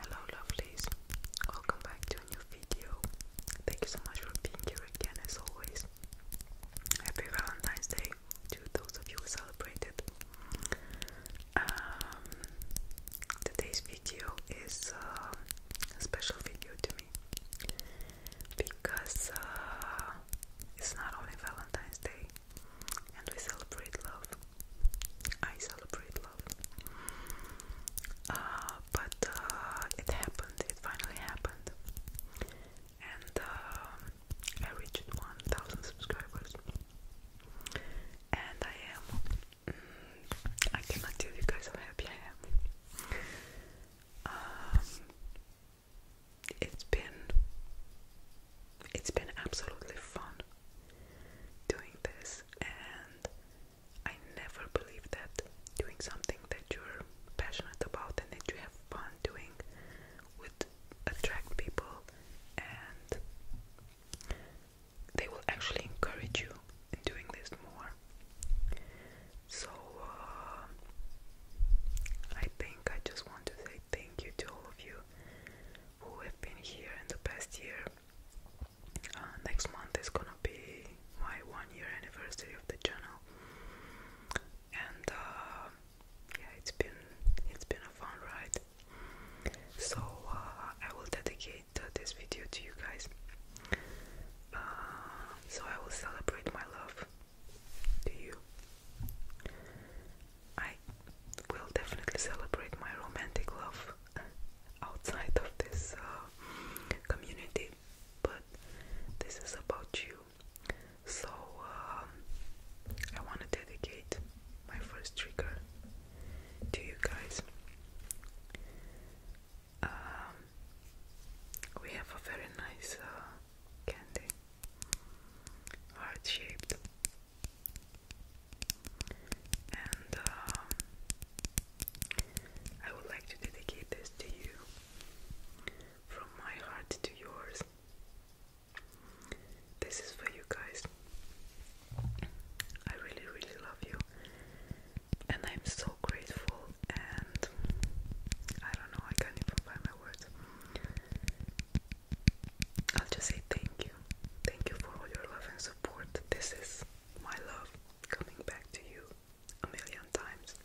Hello lovelies, welcome back to a new video. Thank you so much for being here again as always. Happy Valentine's Day to those of you who celebrated. Um, today's video is um, a special video to me because uh, it's not only Valentine's Day and we celebrate love. I celebrate uh, but uh, it happened, it finally happened. And uh, I reached 1000 subscribers. And I am. Mm, I cannot tell you guys how happy I am. Um, it's been. It's been absolutely fun doing this, and I never believe that doing something that you're passionate about and that you have fun doing would attract people and they will actually encourage you in doing this more. So, uh, I think I just want to say thank you to all of you who have been here in the past year uh, next month is gonna be my one year anniversary of the channel, and uh, yeah, it's been it's been a fun ride. So uh, I will dedicate this video to you guys. so I will celebrate my love to you. I will definitely celebrate my romantic love outside of this uh, community, but this is about you. So, um, I want to dedicate my first trigger to you guys. Um, we have a very nice uh, candy, heart shaped and uh, I would like to dedicate this to you from my heart to yours. This is for you guys. I really, really love you, and I'm so grateful. And I don't know, I can't even find my words. I'll just say thank you. Thank you for all your love and support. This is my love coming back to you a million times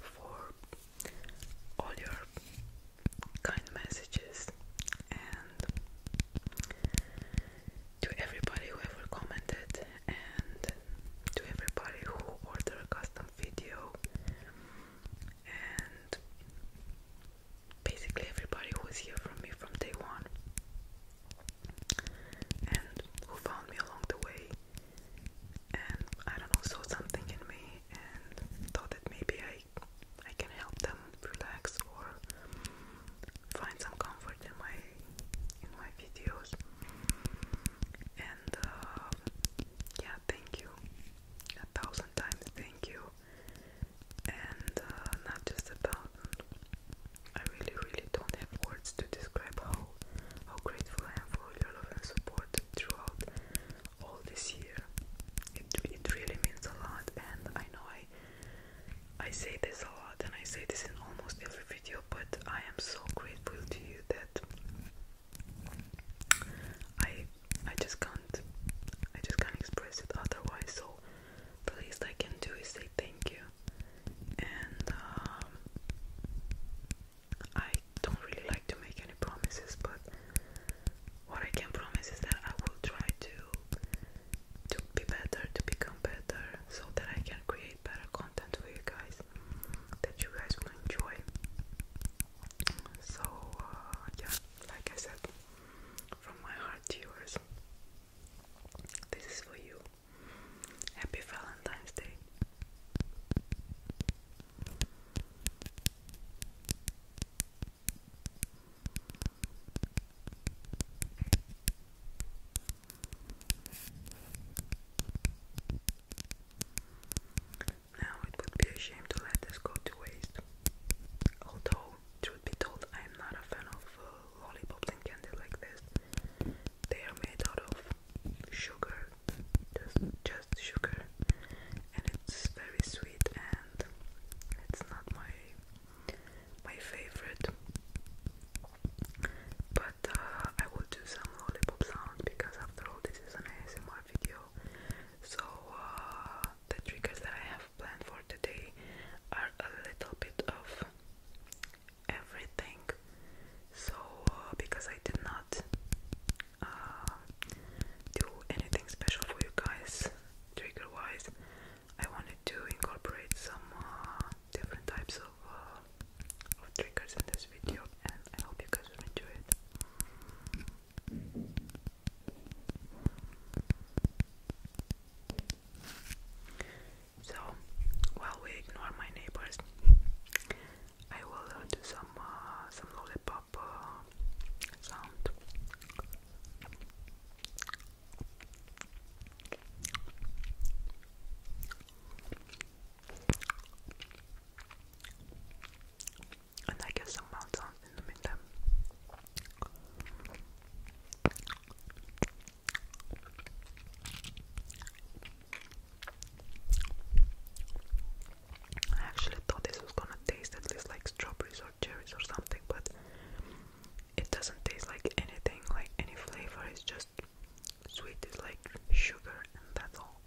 for all your kind messages and to everybody who ever commented and to everybody who ordered a custom video and basically everybody who here from me from day one and who found me along the way and I don't know saw something in me and thought that maybe I I can help them relax or find some comfort in my in my videos and uh, yeah thank you a thousand times thank you and uh, not just about. I really, really don't have words to describe how how grateful I am for your love and support throughout all this year. It it really means a lot, and I know I I say this a lot, and I say this in almost every video, but I am so grateful to you that. I I just can't I just can't express it otherwise so the least I can do is say thank you. And um, I don't really like to make any promises, but what I can promise is that I will try to to be better, to become better, so that I can create better content for you guys that you guys will enjoy. So uh, yeah, like I said, from my heart to yours. This is for you. Happy Valentine's Day. Now it would be a shame to let this go to waste. Although truth be told, I am not a fan of uh, lollipops and candy like this. They are made out of sugar, just sugar, and it's very sweet and it's not my my favorite. But uh, I will do some lollipop sound because after all, this is an ASMR video. So uh, the triggers that I have planned for today are a little bit of everything. So, uh, because I did not uh, do anything special for you guys, trigger wise, I wanted to incorporate some uh, different types of triggers in this video, and I hope you guys will enjoy it. So, while we ignore my neighbors, I will uh, do some uh, some lollipop uh, sound. And I guess some mountains. I actually thought this was gonna taste at least like strawberries or cherries or something, but it doesn't taste like anything, like any flavor, it's just sweet, it's like sugar, and that's all.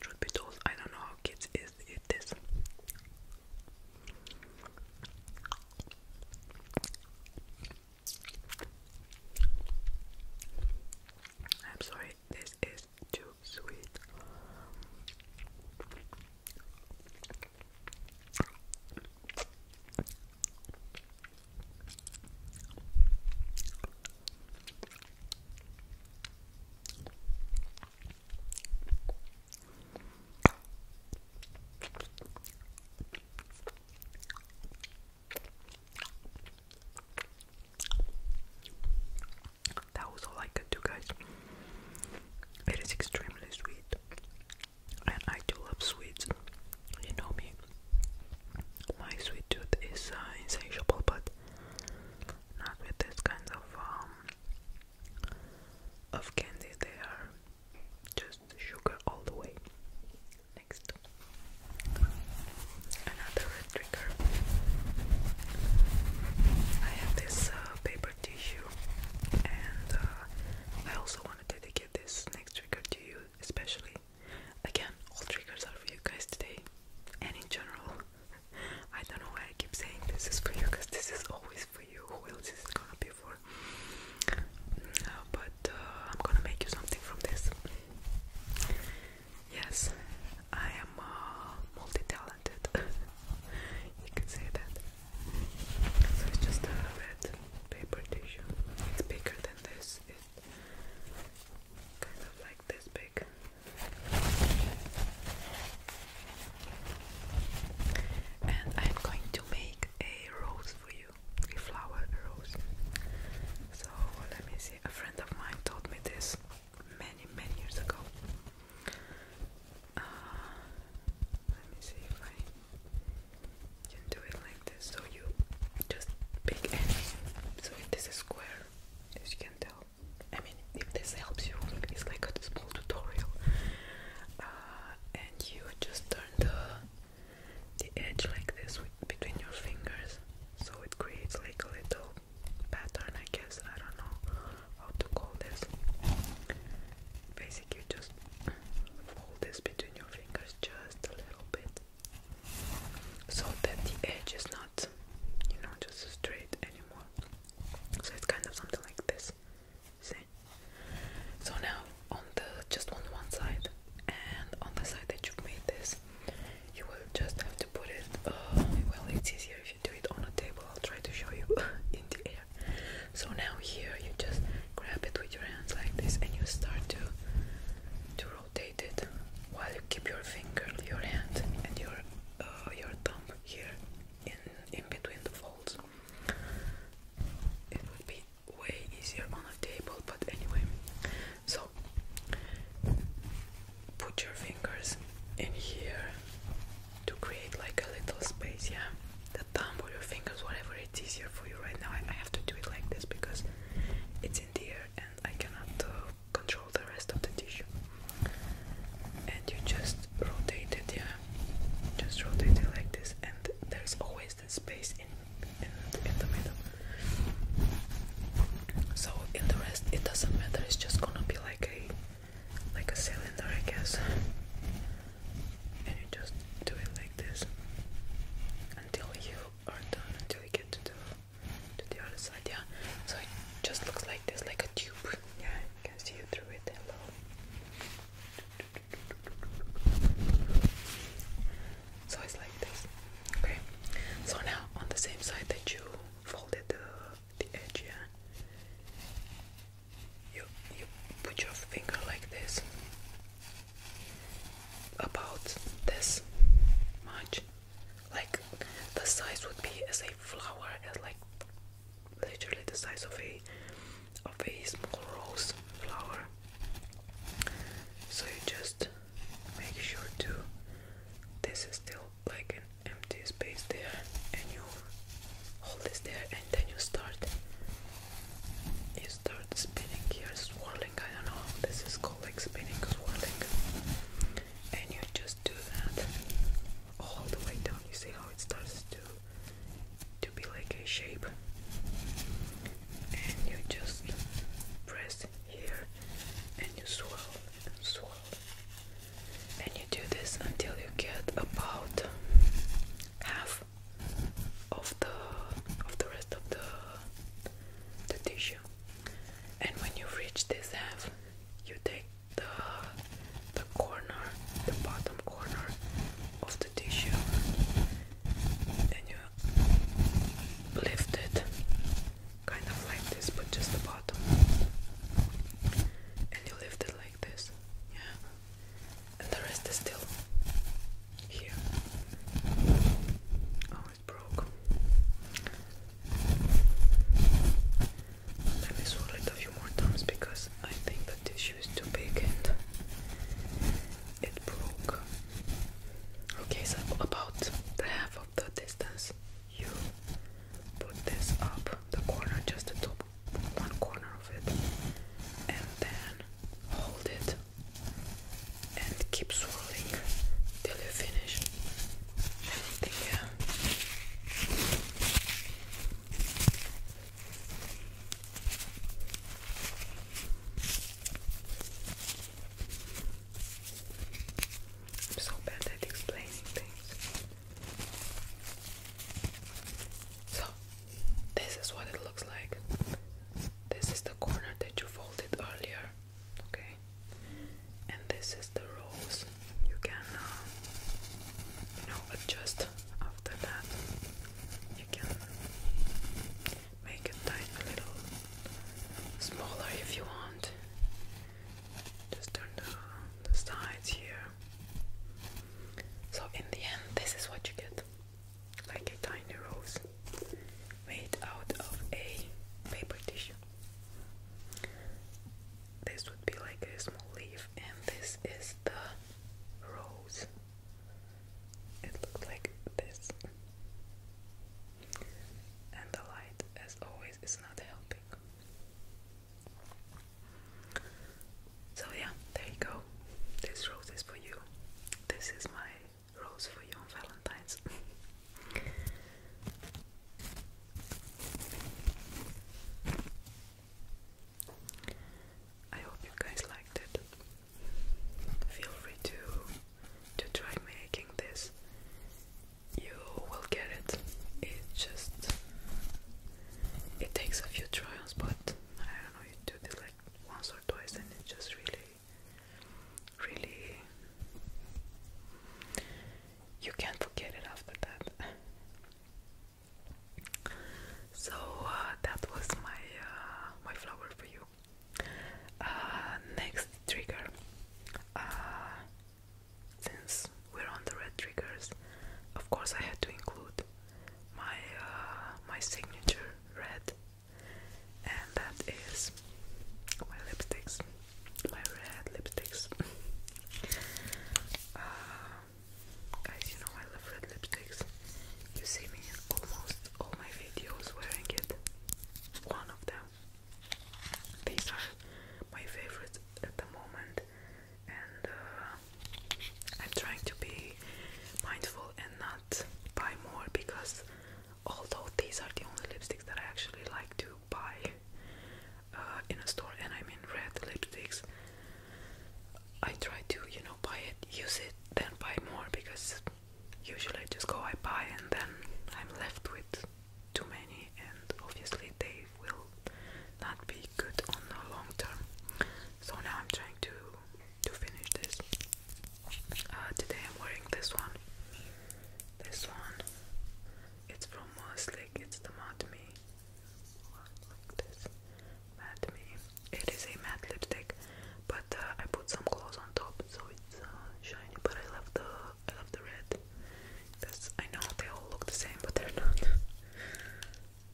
Truth I don't know how kids is eat I'm sorry, this is too sweet. That was all I could do, guys. It is extremely sweet, and I do love sweets. You know me. My sweet tooth is uh, insatiable, but not with this kind of um of candy. They are just sugar all the way. Next. Another trigger. I have this uh, paper tissue, and uh, I also want to dedicate this next trigger to you, especially. Again, all triggers are for you guys today, and in general. I don't know why I keep saying this is for you, because this is always for you. Who else is it going for? but uh, I'm gonna make you something from this. Yes, I am uh, multi-talented. you can say that. So it's just a red paper tissue. It's bigger than this. It's kind of like this big. And I'm going to make a rose for you, a flower rose. So let me see. A friend of mine told me this many, many years ago. Uh, let me see if I can do it like this. So you just pick any. So if this is square, as you can tell. I mean, if this helps you, it's like a small tutorial. Uh, and you just turn the the edge like this with, between your fingers, so it creates like a little pattern, I guess. I don't know how to call this. Basically, just fold this between your fingers just a little bit so that the edge is not, you know, just straight anymore. So it's kind of something like this. See? So now on the just on one side and on the side that you've made this, you will just have to put it. Uh, well, it's easier if you do it on a table. I'll try to show you in the air. So now here, you just grab it with your hands like this, and you start to to rotate it while you keep your finger, your hand, and your uh, your thumb here in in between the folds. It would be way easier on a table, but anyway. So put your fingers in here to create like a little space, yeah? The thumb or your fingers, whatever it's easier for you right now. I, have to do it like this because it's in the air and I cannot uh, control the rest of the tissue. And you just rotate it, yeah? Just rotate it like this, and there's always the space in, in the middle. So in the rest, it doesn't matter. It's just gonna be like a like a cylinder, I guess. And you just do it like this until you are done, until you get to the to the other side. Yeah. So it just looks like this, like a tube. Yeah, you can see through it. Hello. So it's like this. Okay. So now on the same side that you folded the, the edge, yeah? You, you put your finger like this, about this much, like the size would be as a flower, as like literally the size of a of a small rose flower. So you just make sure to this is still like an empty space there and you hold this there and then you start you start spinning here swirling I don't know this is called like spinning swirling and you just do that all the way down you see how it starts to to be like a shape and you just press here and you swirl and you do this until you get about half of the of the rest of the the tissue. And when you reach this half, you take the the corner, the bottom corner of the tissue, and you lift it kind of like this, but just the bottom, and you lift it like this, yeah, and the rest is still here. Oh, it broke. Let me swirl it a few more times because I think the tissue is too big and it broke. Okay, so about half of the distance you put this up the corner, just the top one corner of it, and then hold it and keep swirling till you finish anything I'm so bad at explaining things. So, this is what it looks like. This is the corner that you folded earlier, okay? And this is the rose. You can, uh, adjust after that. You can make it a little smaller if you want. Just turn the, sides here. So in the end, this is what you get. Like a tiny rose made out of a paper tissue. This would be like a small leaf, and this is the rose. It looks like this. And the light, as always, it's not helping so yeah there you go this rose is for you this is my rose for you on valentine's I hope you guys liked it. Feel free to to try making this, you will get it. It just it takes a few trials, but I don't know. You do this like once or twice, and it just really, really you can't forget it after that. So uh, that was my uh, my flower for you. Uh, next trigger. Since we're on the red triggers, of course I had to include my uh, my signature red, and that is my lipsticks, my red lipsticks. Uh, guys, you know I love red lipsticks. You see me in almost all my videos wearing it. One of them these are my favorites at the moment, and uh, I'm trying to be mindful and not buy more because although these are the only lipsticks that I actually like to buy uh, in a store, and I mean red lipsticks, I try to you know buy it, use it, then buy more because usually I just go I buy and then I'm left with too many, and obviously they will not be good on the long term. So now I'm trying to to finish this. Uh, today I'm wearing this one. This one. It's from Moslick. It's the Matte Me. Like this. Matte Me. It is a matte lipstick, but uh, I put some gloss on top, so it's uh, shiny. But I love the I love the red I know they all look the same, but they're not.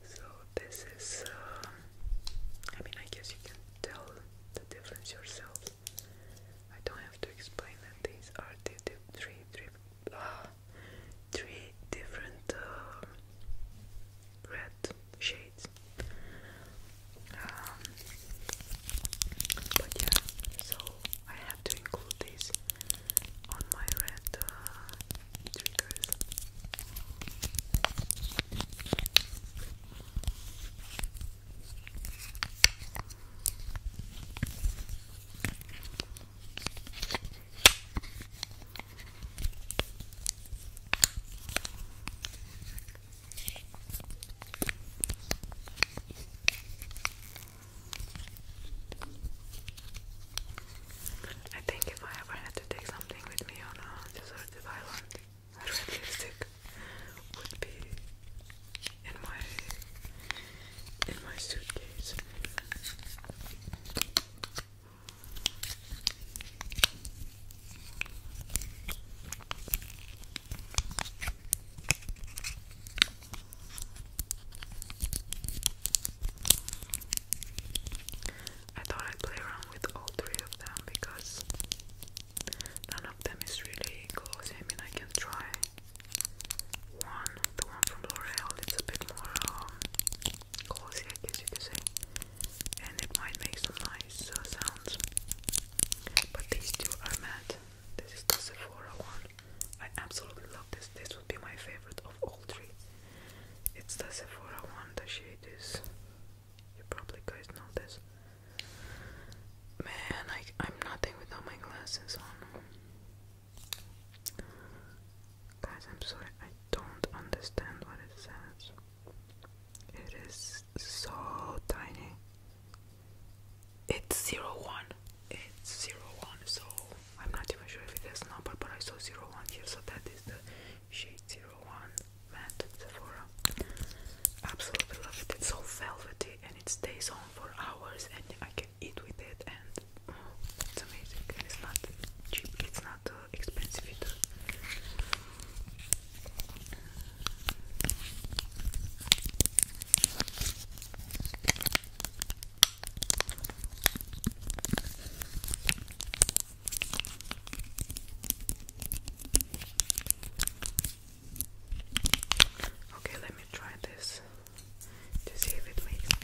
so this is. Um, I mean, I guess you can tell the difference yourself. I don't have to explain that these are the, three, three, uh, three different um, red shades. Um, but yeah, so I have to include this on my red uh, triggers. I think if I ever had to take something with me on a deserted island, a red lipstick would be in my in my suitcase. I thought I'd play around with all three of them because none of them is really close. I mean, I can try one, the one from L'Oreal, it's a bit more um, I guess you could say, and it might make some nice uh, sounds. But these two are matte. This is the Sephora one. I absolutely love this. This would be my favorite of all three. It's the Sephora one. The shade is. You probably guys know this. Man, I, I'm nothing without my glasses on. Guys, I'm sorry. I don't understand what it says. It is so tiny. It's zero 01. It's zero 01, so I'm not even sure if it has number, but I saw zero 01 here, so that is the shade zero 01 matte Sephora. Absolutely love it. It's so velvety and it stays on for hours, and I can eat with it, and it's oh, amazing. And it's not cheap. It's not uh, expensive either. Okay, let me try this to see if it makes any.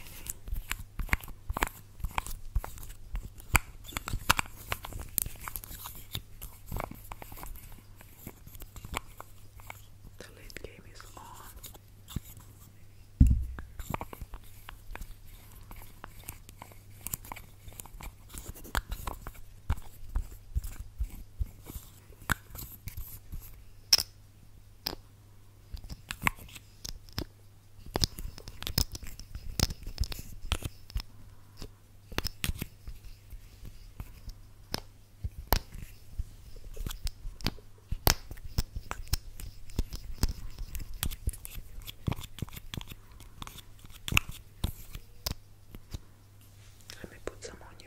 The late game is on. Let me put some on you.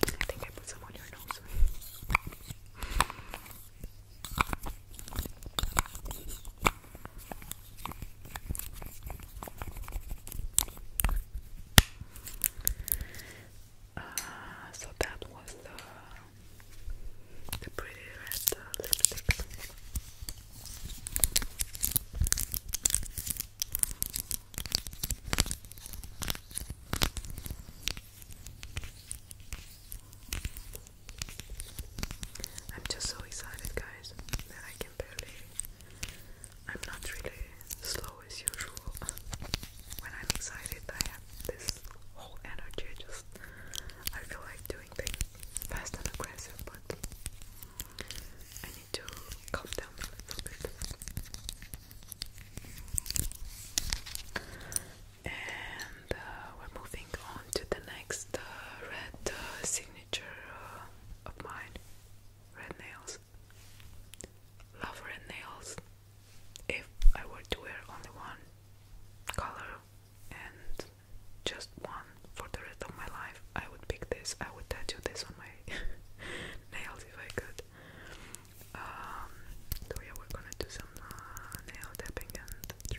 I think I put some on your nose. Uh, so that was uh, the, pretty red uh, lipstick. I'm just so excited, guys, that I can barely. I'm not really slow as usual. when I'm excited, I have this whole energy. Just I feel like doing things fast and aggressive, but I need to calm down a little bit. And uh, we're moving on to the next uh, red uh, signature uh, of mine red nails. Love red nails. If I were to wear only one color and just one for the rest of my life, I would pick this. I would tattoo this on my nails if I could. Um, so yeah, we're gonna do some uh, nail tapping and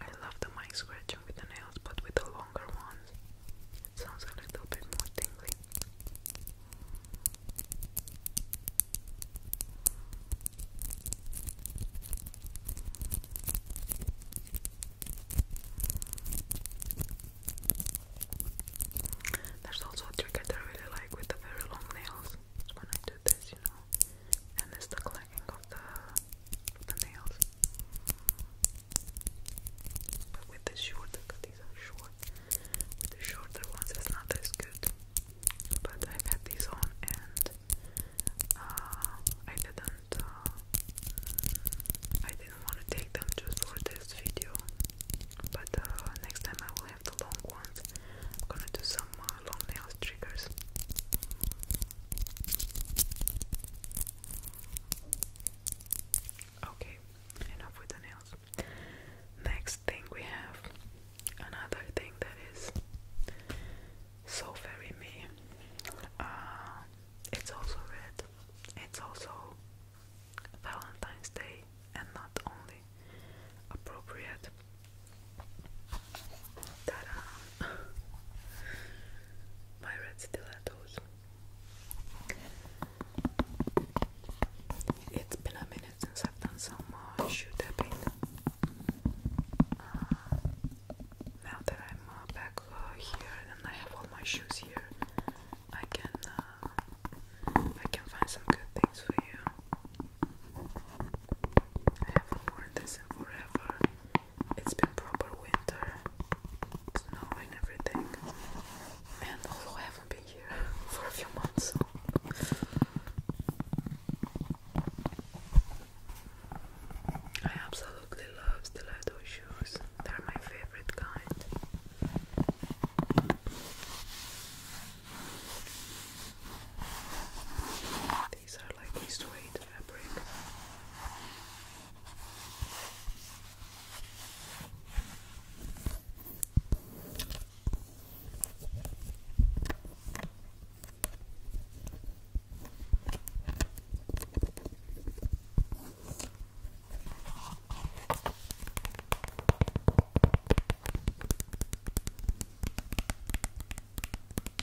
I love the mic scratching with the nails, but with the longer ones, it sounds like a little bit more tingly. There's also a trick that I really like with the very long nails. It's when I do this, you know, and it's the of the, nails. But with the shorter, these are short, with the shorter ones it's not as good. But i had these on and uh, I didn't, uh, I didn't want to take them just for this video. But uh, next time I will have the long ones. I'm gonna do some uh, long nails Okay, enough with the nails. Next thing we have another thing that is so very me. Uh, it's also red. It's also Valentine's Day and not only appropriate ta My red stilettos. It's been a minute since I've done some uh, shoe tapping. Uh, now that I'm uh, back uh, here and I have all my shoes here, I can uh, I can find some good things for you. I haven't worn this in forever. It's been proper winter, snow everything. And although I haven't been here for a few months, I absolutely love stiletto shoes. They're my favorite kind. These are like waist weight fabric.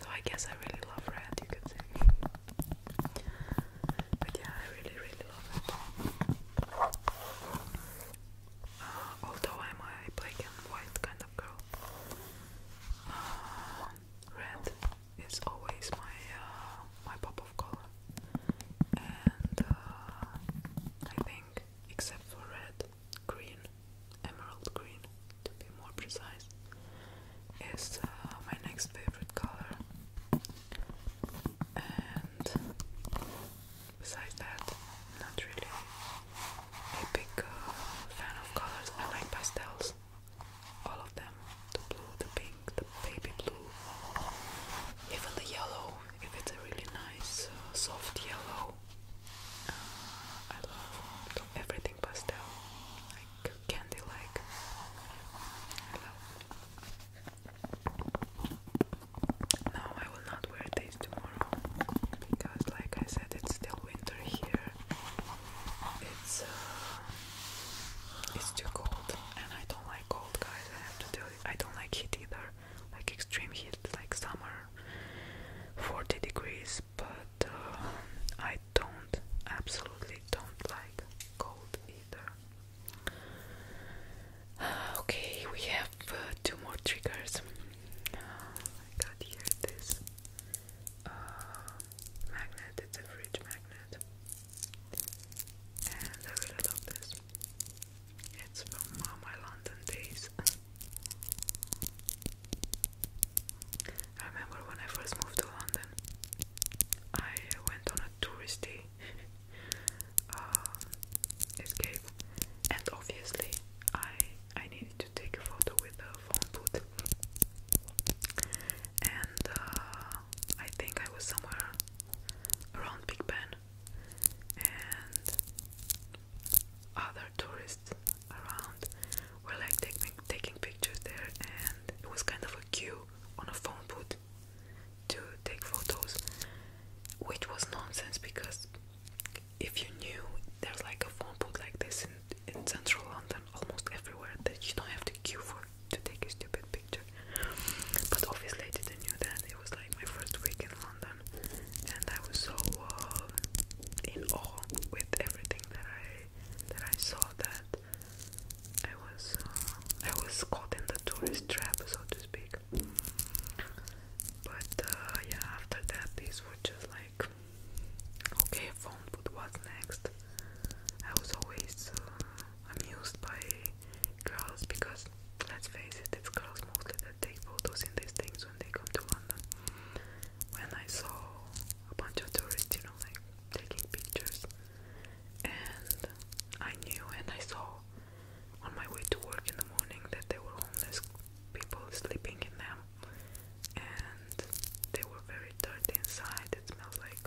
So I guess I really love red, you could say. But yeah, I really, really love it. Uh, although I'm a black and white kind of girl, uh, red is always my uh, my pop of color, and uh, I think except for red, green, emerald green, to be more precise, is my next favorite color, and besides that, not really a big uh, fan of colors. I like pastels, all of them the blue, the pink, the baby blue, even the yellow. If it's a really nice, uh, soft yellow, uh, I love everything pastel, like candy like. I love. No, I will not wear these tomorrow because, like I said, it's still winter here. It's uh, it's too cold, and I don't like cold, guys. I have to tell I don't like heat either, like extreme heat, like summer, forty degrees. But uh, I don't, absolutely don't like cold either. Okay, we have uh, two more triggers. Uh, I got here this uh, magnet, it's a fridge magnet, and I really love this. It's from uh, my London days. I remember when I first moved to London, I went on a tourist um, escape. And obviously, I I needed to take a photo with the phone booth. And uh, I think I was somewhere around Big Ben, and other tourists around were like taking taking pictures there, and it was kind of a queue on a phone booth to take photos, which was nonsense because if you knew there's like a phone booth like this in, in central London almost everywhere that you don't have to queue for to take a stupid picture. But obviously I didn't knew that. It was like my first week in London and I was so uh, in awe with everything that I that I saw that I was uh, I was caught in the tourist trap so to speak but uh, yeah after that these were just like okay phone but what's next I was always uh, amused by girls because let's face it it's girls mostly that take photos in these things when they come to London when I saw a bunch of tourists you know like taking pictures and I knew and I saw on my way to work in the morning that there were homeless people sleeping in them and they were very dirty inside. It smells like,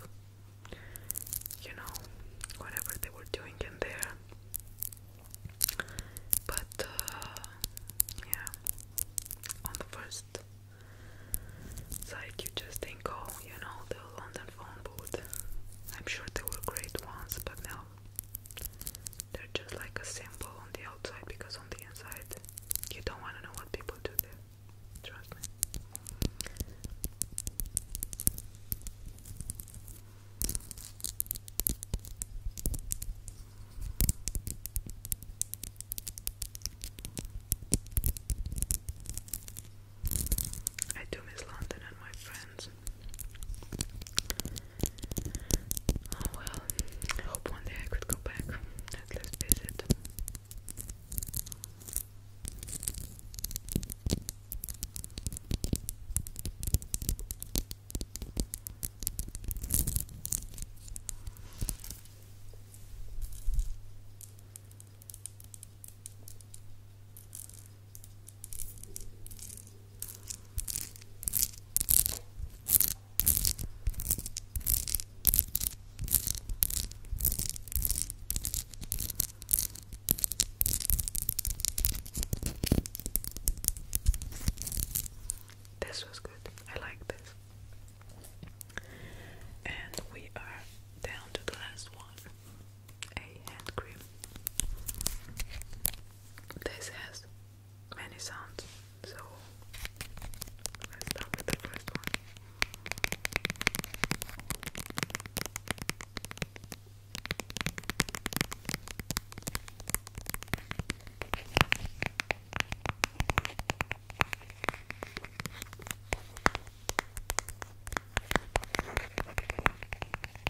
you know, whatever they were doing in there. But, uh, yeah, on the first side, you just think, oh, you know, the London phone booth. I'm sure they were great ones, but now they're just like a symbol on the outside because on the inside you don't want to know what people do there. Trust me. I do miss London and my friends else. Oh well, I hope one day I could go back at least visit. This was good. I like this. And we are down to the last one a hand cream. This has many sounds, so let's start with the first one.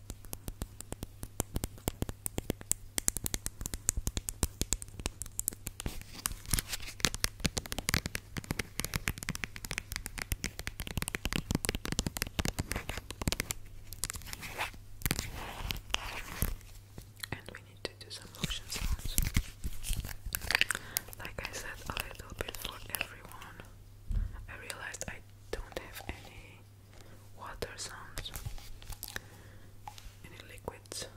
And we need to do some motion sounds. Like I said, a little bit for everyone. I realized I don't have any water sounds, any liquids.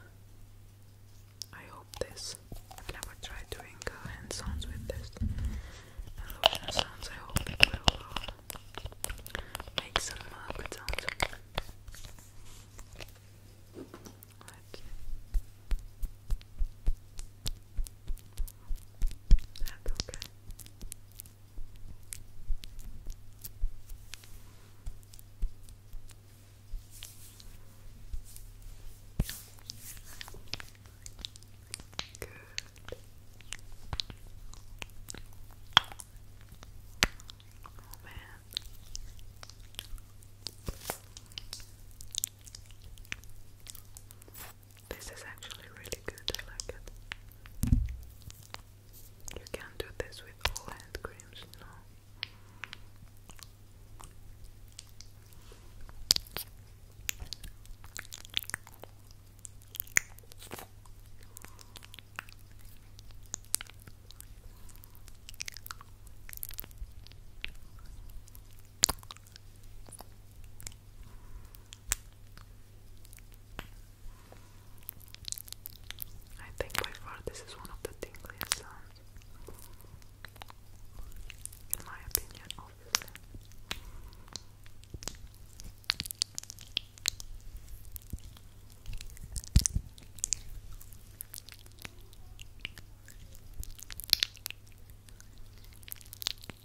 I hope this. I've never tried doing uh, hand sounds with this. And lotion sounds, I hope it will uh, make some uh, sounds. let that's okay. Good. Oh man. This is actually really good, I like it. You can't do this with all hand creams, no. I think by far this is one of the tingliest sounds, in my opinion, obviously.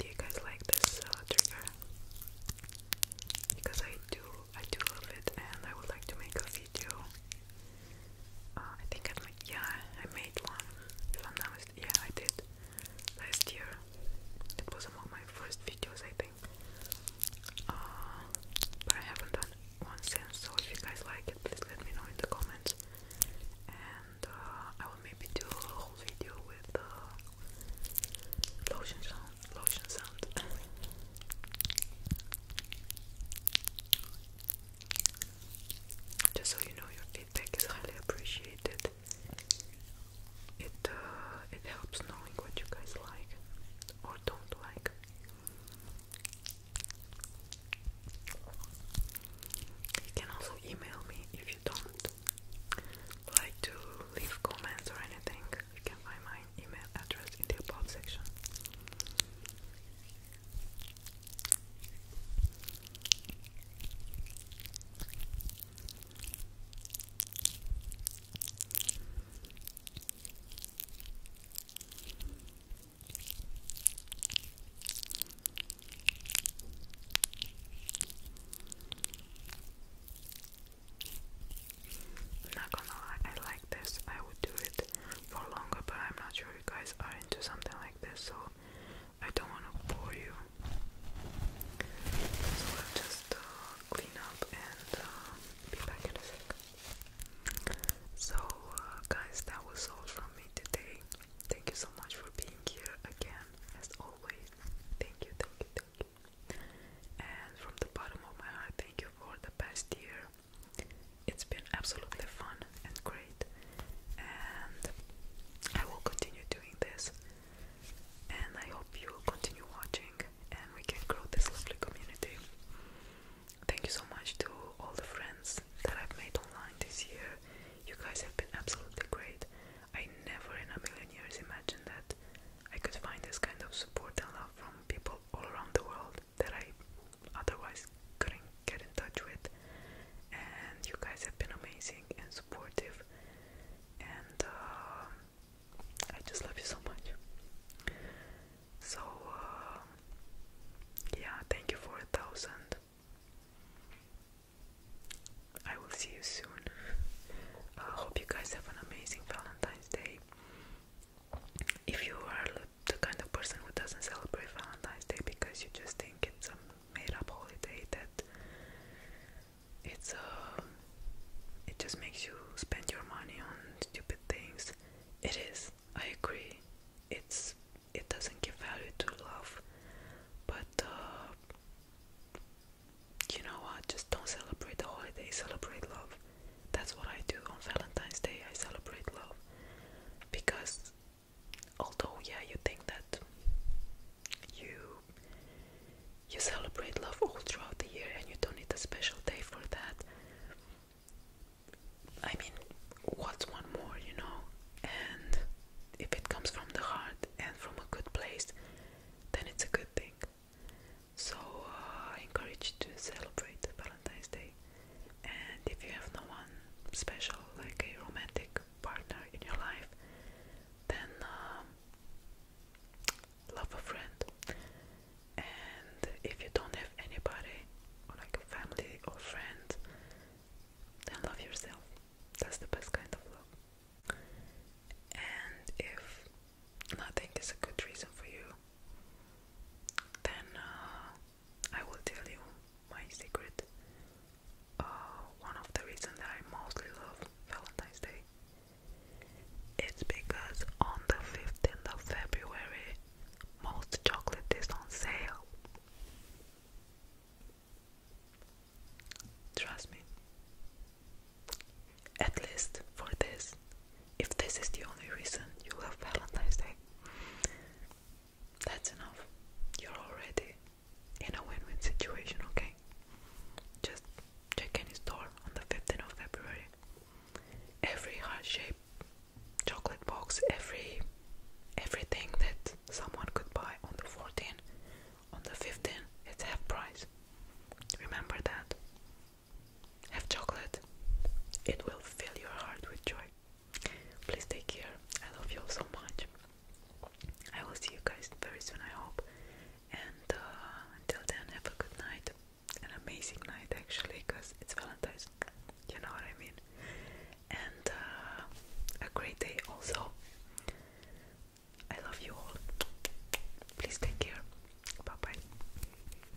Do you guys like this trigger? Because I do, I do love it, and I would like to make a video uh, I think I made, yeah, I made one. yeah, I did last year. It was among my first videos, I think. Uh, but I haven't done one since. So if you guys like it, please let me know in the comments. And uh, I will maybe do a whole video with uh, lotion sound, lotion sound. Just so you know, your feedback is highly appreciated. It uh, it helps knowing what you guys like or don't like. You can also email me if you don't like to leave comments or anything. You can find my email address in the above section. I'm not gonna lie, I like this. I would do it for longer, but I'm not sure you guys are into something like this, so I don't want to bore you. So I'll just uh, clean up and uh, be back in a sec. So, uh, guys, that was all from me today. Thank you so much for being here again, as always. Thank you, thank you, thank you. And from the bottom of my heart, thank you for the past year. It's been absolutely fun and great, and I will continue doing this. And I hope you will continue watching, and we can grow this lovely community. Thank you so much to all the friends that I've made online this year. You guys have been absolutely great. I never in a million years imagined that I could find this kind of support and love from people all around the world that I otherwise couldn't get in touch with. And you guys have been amazing and supportive, and uh, I just love you so much. So, uh, yeah, thank you for a thousand. I will see you soon. I hope you guys have an amazing Valentine's Day. If you are the kind of person who doesn't celebrate Valentine's Day because you just think it's a made-up holiday that it's a um, it just makes you spend your money on stupid things. It is. I agree. It's it doesn't give value to love, but uh, you know what? Just don't celebrate the holiday. Celebrate love. That's what I do on Valentine's Day. I celebrate love because although yeah, you think that you you celebrate love all throughout the year and you don't need a special day for that. I mean, what's one more, you know? And if it comes from the heart and from a good place, then it's a good thing. So uh, I encourage you to celebrate Valentine's Day. And if you have no one special, like a romantic partner in your life, then um, love a friend. And if you don't have anybody, or like a family or friend, then love yourself. That's the best kind of love. And if nothing is a good reason for you then uh, I will tell you my secret. Uh, one of the reasons that I mostly love Valentine's Day it's because on the 15th of February, most chocolate is on sale. Trust me. At least for this if this is the only reason you love Valentine's Day, that's enough. You're already in a win win situation, okay? Just check any store on the 15th of February. Every heart shape, chocolate box, every everything that someone could buy on the 14th, on the 15th, it's half price. Remember that. Have chocolate. It will fill your heart with joy. Please take care. I love you all so much. I will see you guys very soon, I hope. And uh, until then, have a good night. An amazing night, actually, because it's Valentine's. You know what I mean? And uh, a great day, also. I love you all. Please take care. Bye bye.